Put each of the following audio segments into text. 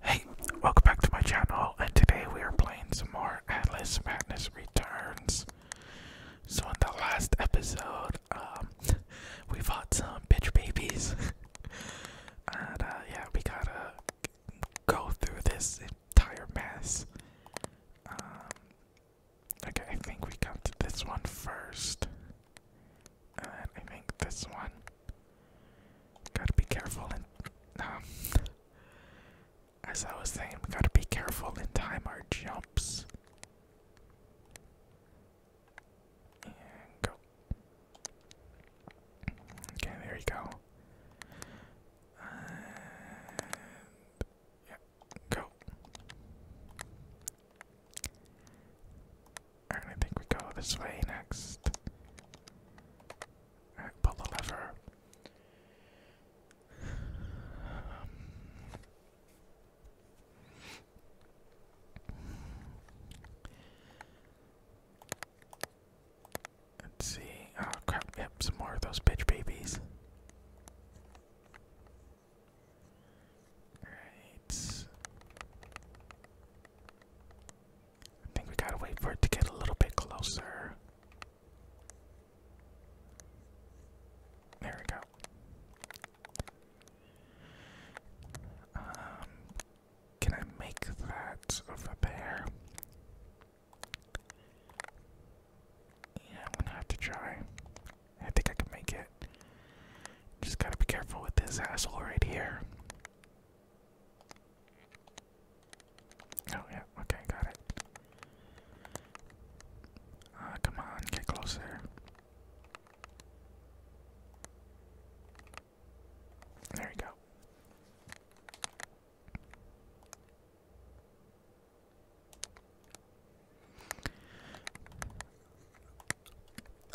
Hey, welcome back to my channel, and today we are playing some more Atlas Madness Returns. So in the last episode, um, we fought some bitch babies, and uh, yeah, we gotta go through this entire mess. Um, okay, I think we come to this one first, and I think this one. Gotta be careful and um, as I was saying, we gotta be careful and time our jumps. And go. Okay, there you go. And yeah, go. I think we go this way next. Alright, pull the lever. Um, let's see. Oh crap, yep, some more of those bitch babies. Alright. I think we gotta wait for it to get a little bit closer. There we go. Um, can I make that over there? Yeah, I'm gonna have to try. I think I can make it. Just gotta be careful with this asshole right here. Oh, yeah, okay, got it. Uh, come on, get closer. There we go.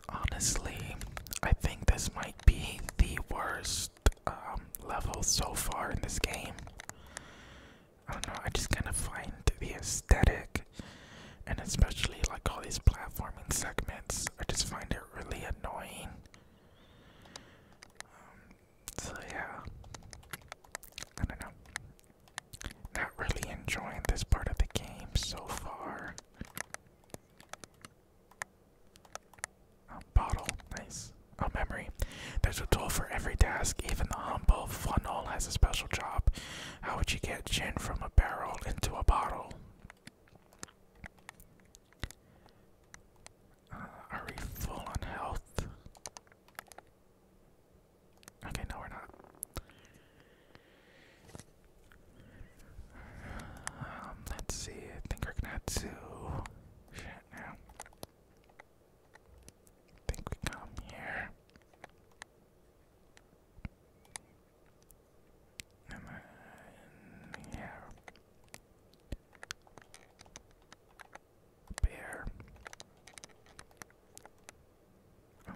Honestly, I think this might be the worst um, level so far in this game. I don't know, I just kind of find the aesthetic and especially like all these platforming segments, I just find it really annoying. Um, so, yeah, I don't know. Not really enjoying this part of the game so far. A bottle, nice. A memory. There's a tool for every task. Even the humble funnel has a special job. How would you get gin from a barrel into a bottle? Uh, are we full on health? Okay, no, we're not. Um, let's see. I think we're gonna have to. I think we come here. And then, yeah. Bear. Oh.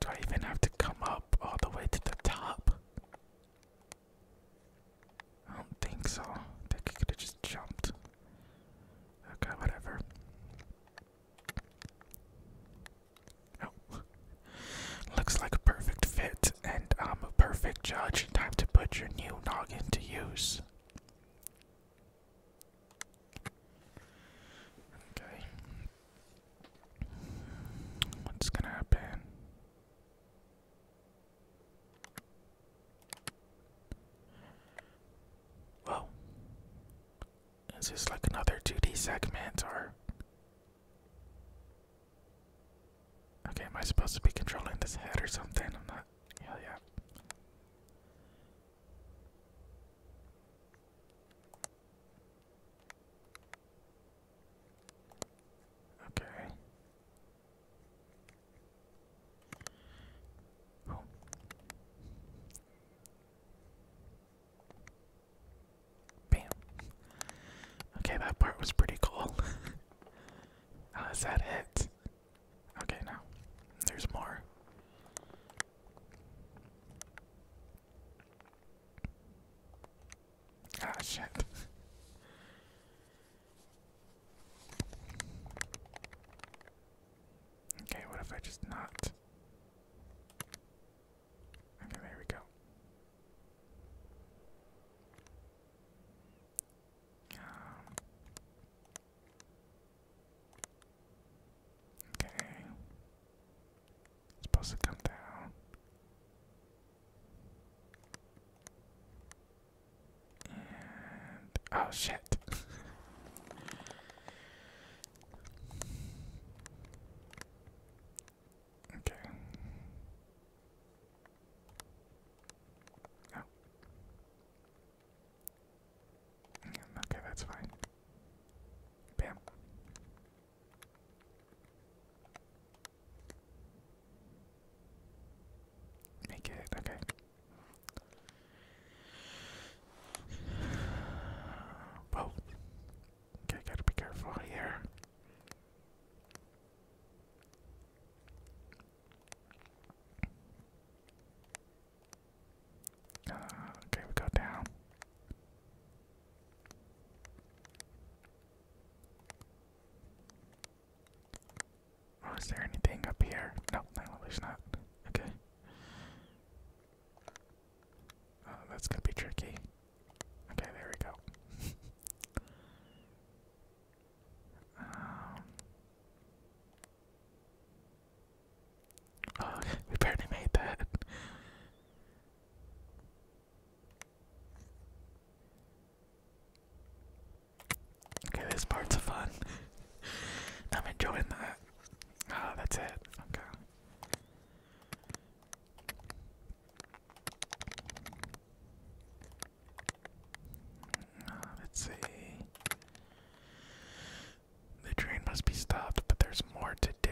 Do I even have to come up all the way to the top? I don't think so. I think I could have just jumped. Okay, whatever. Oh. Looks like a perfect fit, and I'm a perfect judge. Time to put your new noggin to use. Okay. What's gonna happen? Whoa. Is this like another 2D segment or? Okay, am I supposed to be controlling this head or something? I'm not. Hell yeah. Okay. Bam. Okay, that part was pretty cool. is that it? Okay, now there's more. Ah, shit. okay, what if I just not? Okay, there we go. Um, Okay. It's supposed to come down. oh shit. okay. Oh. Mm, okay, that's fine. Bam. Make it, okay. Whoa. Okay, gotta be careful here. Uh, okay, we go down. Oh, there anything up here? No, no, there's not. Okay. Uh, that's gonna be tricky. Okay, there we go. Um, Oh, we barely made that. Okay, this part's fun. I'm enjoying that. Ah, that's it. Okay. Ah, let's see. The train must be stopped, but there's more to do.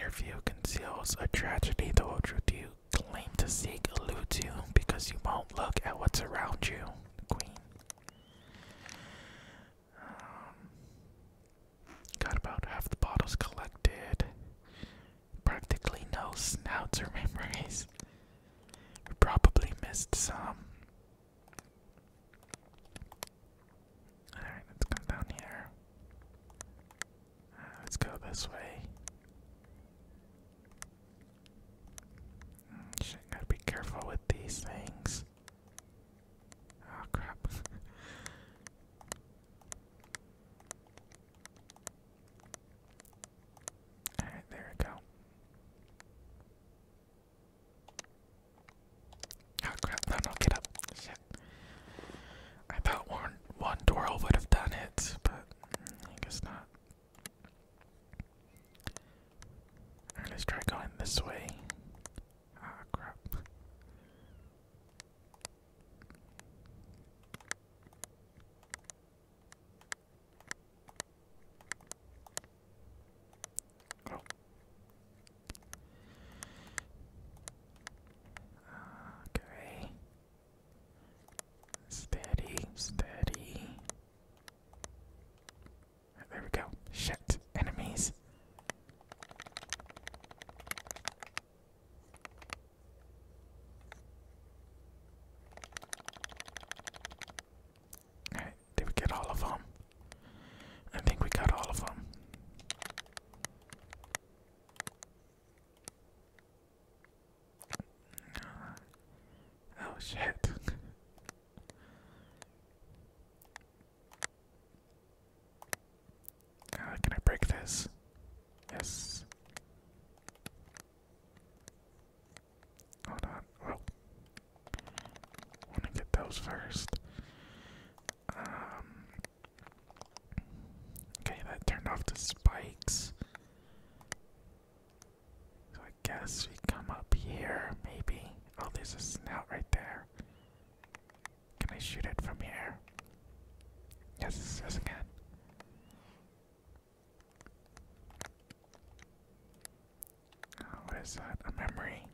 Your view conceals a tragedy the whole truth you claim to seek eludes you because you won't look at what's around you, Queen. Um, got about half the bottles collected. Practically no snouts or memories. Probably missed some. Alright, let's come down here. Uh, let's go this way. Mm, gotta be careful with these things. Oh crap. Alright, there we go. Oh crap, no, no, get up. Shit. I thought one, one twirl would have done it, but I guess not. let's try going this way. oh, crap. Okay. Steady, steady. There we go. Shit, enemies. Alright, did we get all of them? I think we got all of them. Oh shit. Uh, can I break this? Yes. Hold on. Want to get those first. Um, okay, that turned off the spikes. So I guess we come up here, maybe. Oh, there's a snout right there. Can I shoot it from here? Yes, yes, I can. Uh, that? A memory.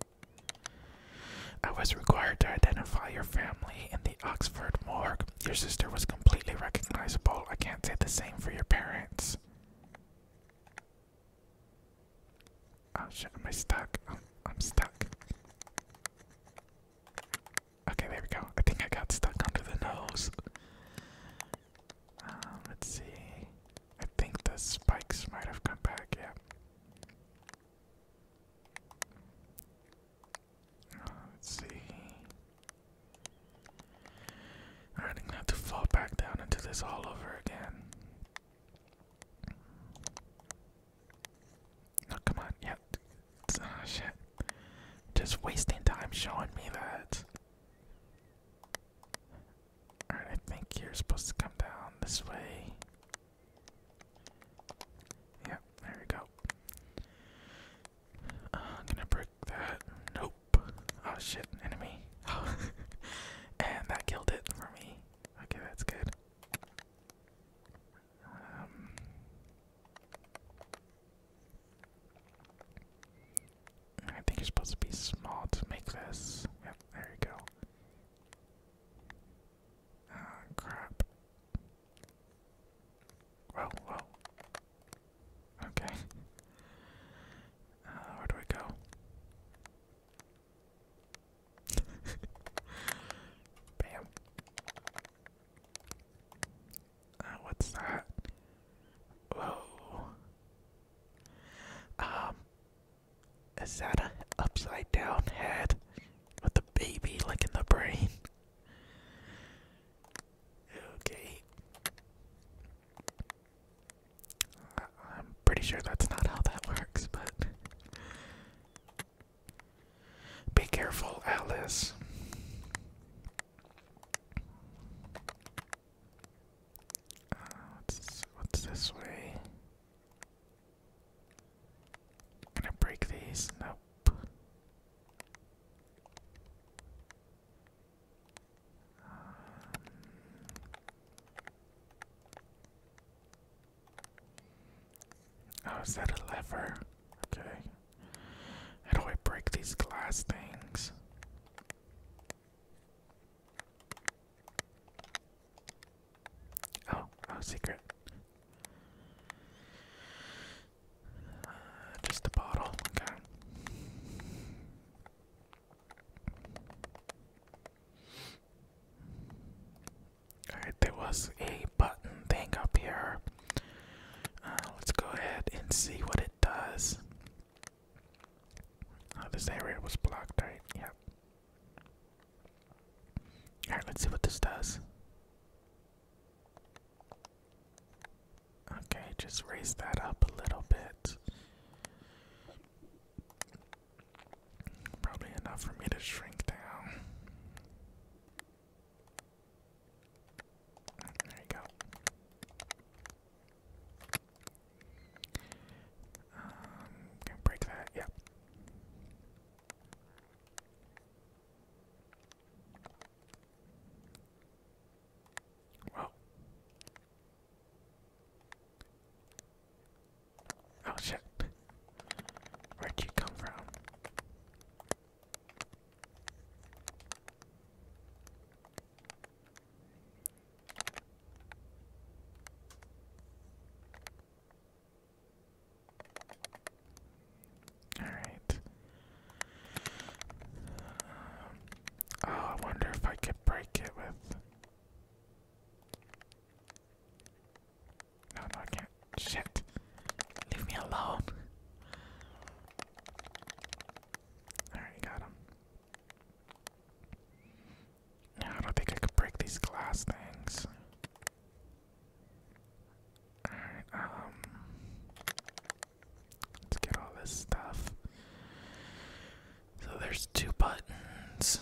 I was required to identify your family in the Oxford morgue. Your sister was completely recognizable. I can't say the same for your parents. Oh shit, am I stuck? I'm, stuck. Okay, there we go. I think I got stuck under the nose. Um, let's see. I think the spikes might have come back, yeah. Uh, let's see. Alright, I'm gonna have to fall back down into this all over again. No, come on, yeah. Oh, shit. Just wasting time showing me that. Alright, I think you're supposed to come down this way. Yep, there we go. Uh, gonna break that. Nope. Oh shit, enemy. and that killed it for me. Okay, that's good. Um, I think you're supposed to be small to make this. there you go. Ah, crap. Whoa, whoa. Okay. Uh, where do we go? Bam. Uh, what's that? Whoa. Um, is that an upside down head with a baby licking the brain? Okay. I'm pretty sure that's not how that works, but. Be careful, Alice what's, this way? Can I break these? Nope. Um, oh, is that a lever? Okay. How do I break these glass things? Oh, oh, secret. Uh, just a bottle, okay. Alright, there was a button thing up here. Uh, let's go ahead and see what it does this area was blocked, right? Yep. Alright, let's see what this does. Okay, just raise that up a little bit. Probably enough for me to shrink down. There you go can um, break that, yeah. Whoa. Oh shit. Where'd you come from? All right. Uh, oh, I wonder if I could break it with. No, no, I can't. Shit. Leave me alone. Alright, got him. I don't think I could break these glass things. Alright, um. Let's get all this stuff. So there's two buttons.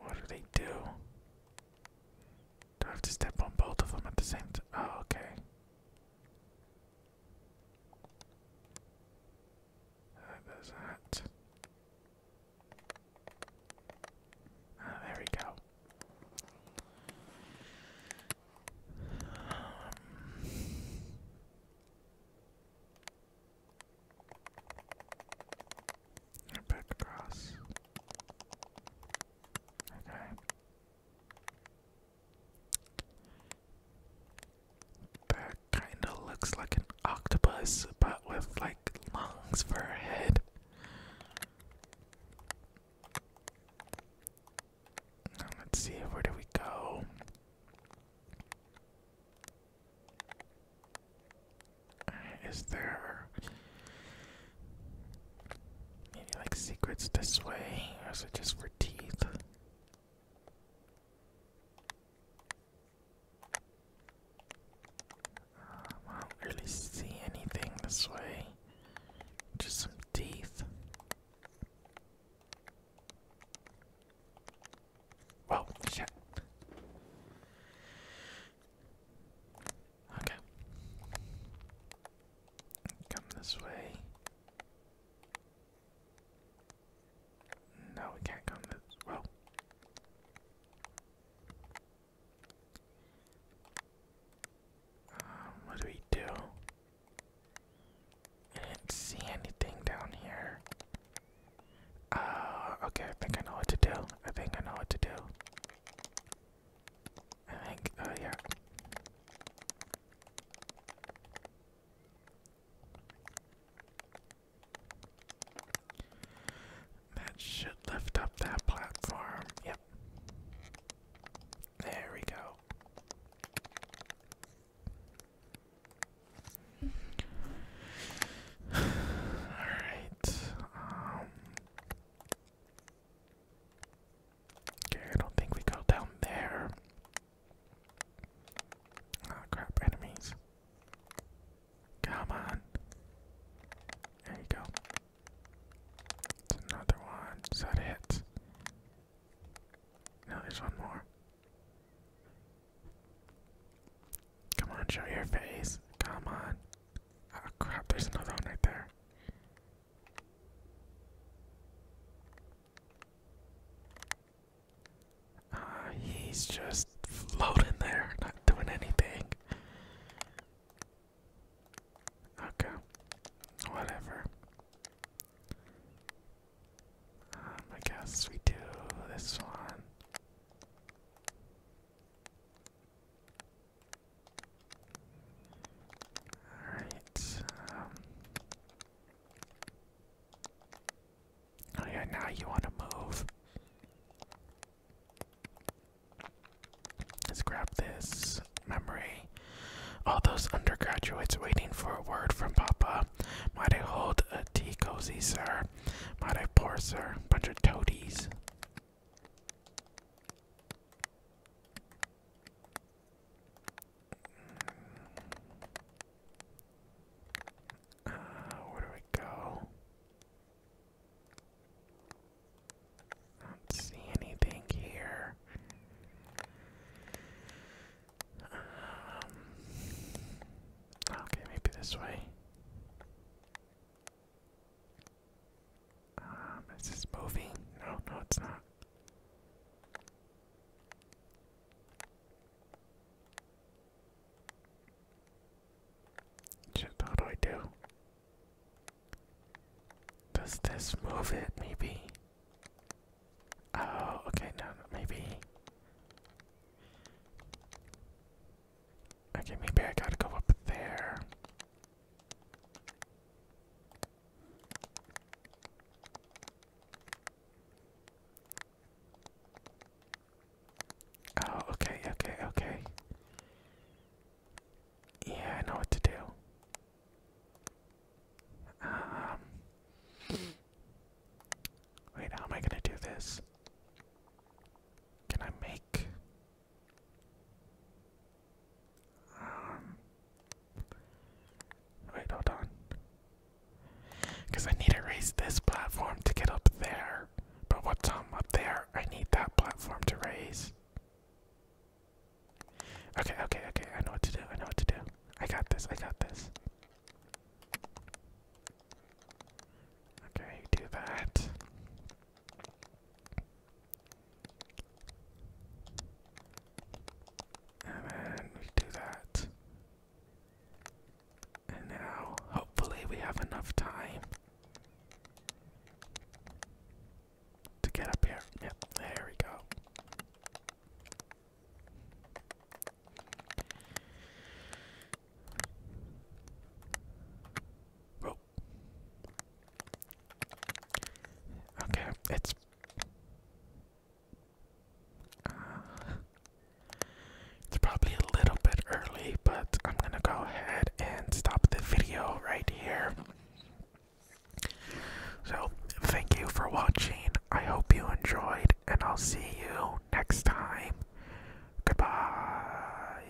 What do they do? Do I have to step on both of them at the same time? Oh, okay. Uh, there's that. Ah, there we go. Um, back across. Okay. That kind of looks like an octopus, but with like lungs for a head. let's see, where do we go? Is there maybe like secrets this way, or is it just for teeth? Um, I don't really see anything this way. Just some teeth. Whoa, shit. Okay. Come this way. No, we can't come Well. Um, what do we do? I didn't see anything down here. Uh, okay, I think I know what to do. I think I know what to do. I think, oh yeah. That should lift up that platform. Yep. There we go. Alright. Um, Okay, I don't think we go down there. Ah, oh, crap, enemies. Come on. There you go. It's another one. Is that it? No, there's one more. Come on, show your face. Come on. Oh crap, there's another one right there. Ah, he's just floating there, not doing anything. Okay, whatever. Um, I guess we do this one. Alright. Um. Oh, now you want to move. Let's grab this memory. All those undergraduates waiting for a word from Papa. Might I hold a tea cozy, sir? Might I pour, sir? a Bunch of toadies. Uh, where do we go? I don't see anything here. Um, okay, maybe this way. Um, this is moving. No, no, it's not. Shit, what do I do? Does this move it, maybe? Oh, okay, no maybe. Okay, maybe I gotta go up there. Oh, okay, okay, okay. Yeah, I know what to do. Um, wait, how am I gonna do this? Can I make? Um, Wait, hold on. Because I need to raise this platform to get up there. But what's um, up there? I need that platform to raise. Okay, okay, okay. I know what to do. I know what to do. I got this. I got this. Okay, do that. And then we do that. And now, hopefully, we have enough time to get up here. Yep, there we go. Okay, it's. it's probably a little bit early, but I'm gonna go ahead and stop the video right here. So, thank you for watching. I hope you enjoyed, and I'll see you next time. Goodbye.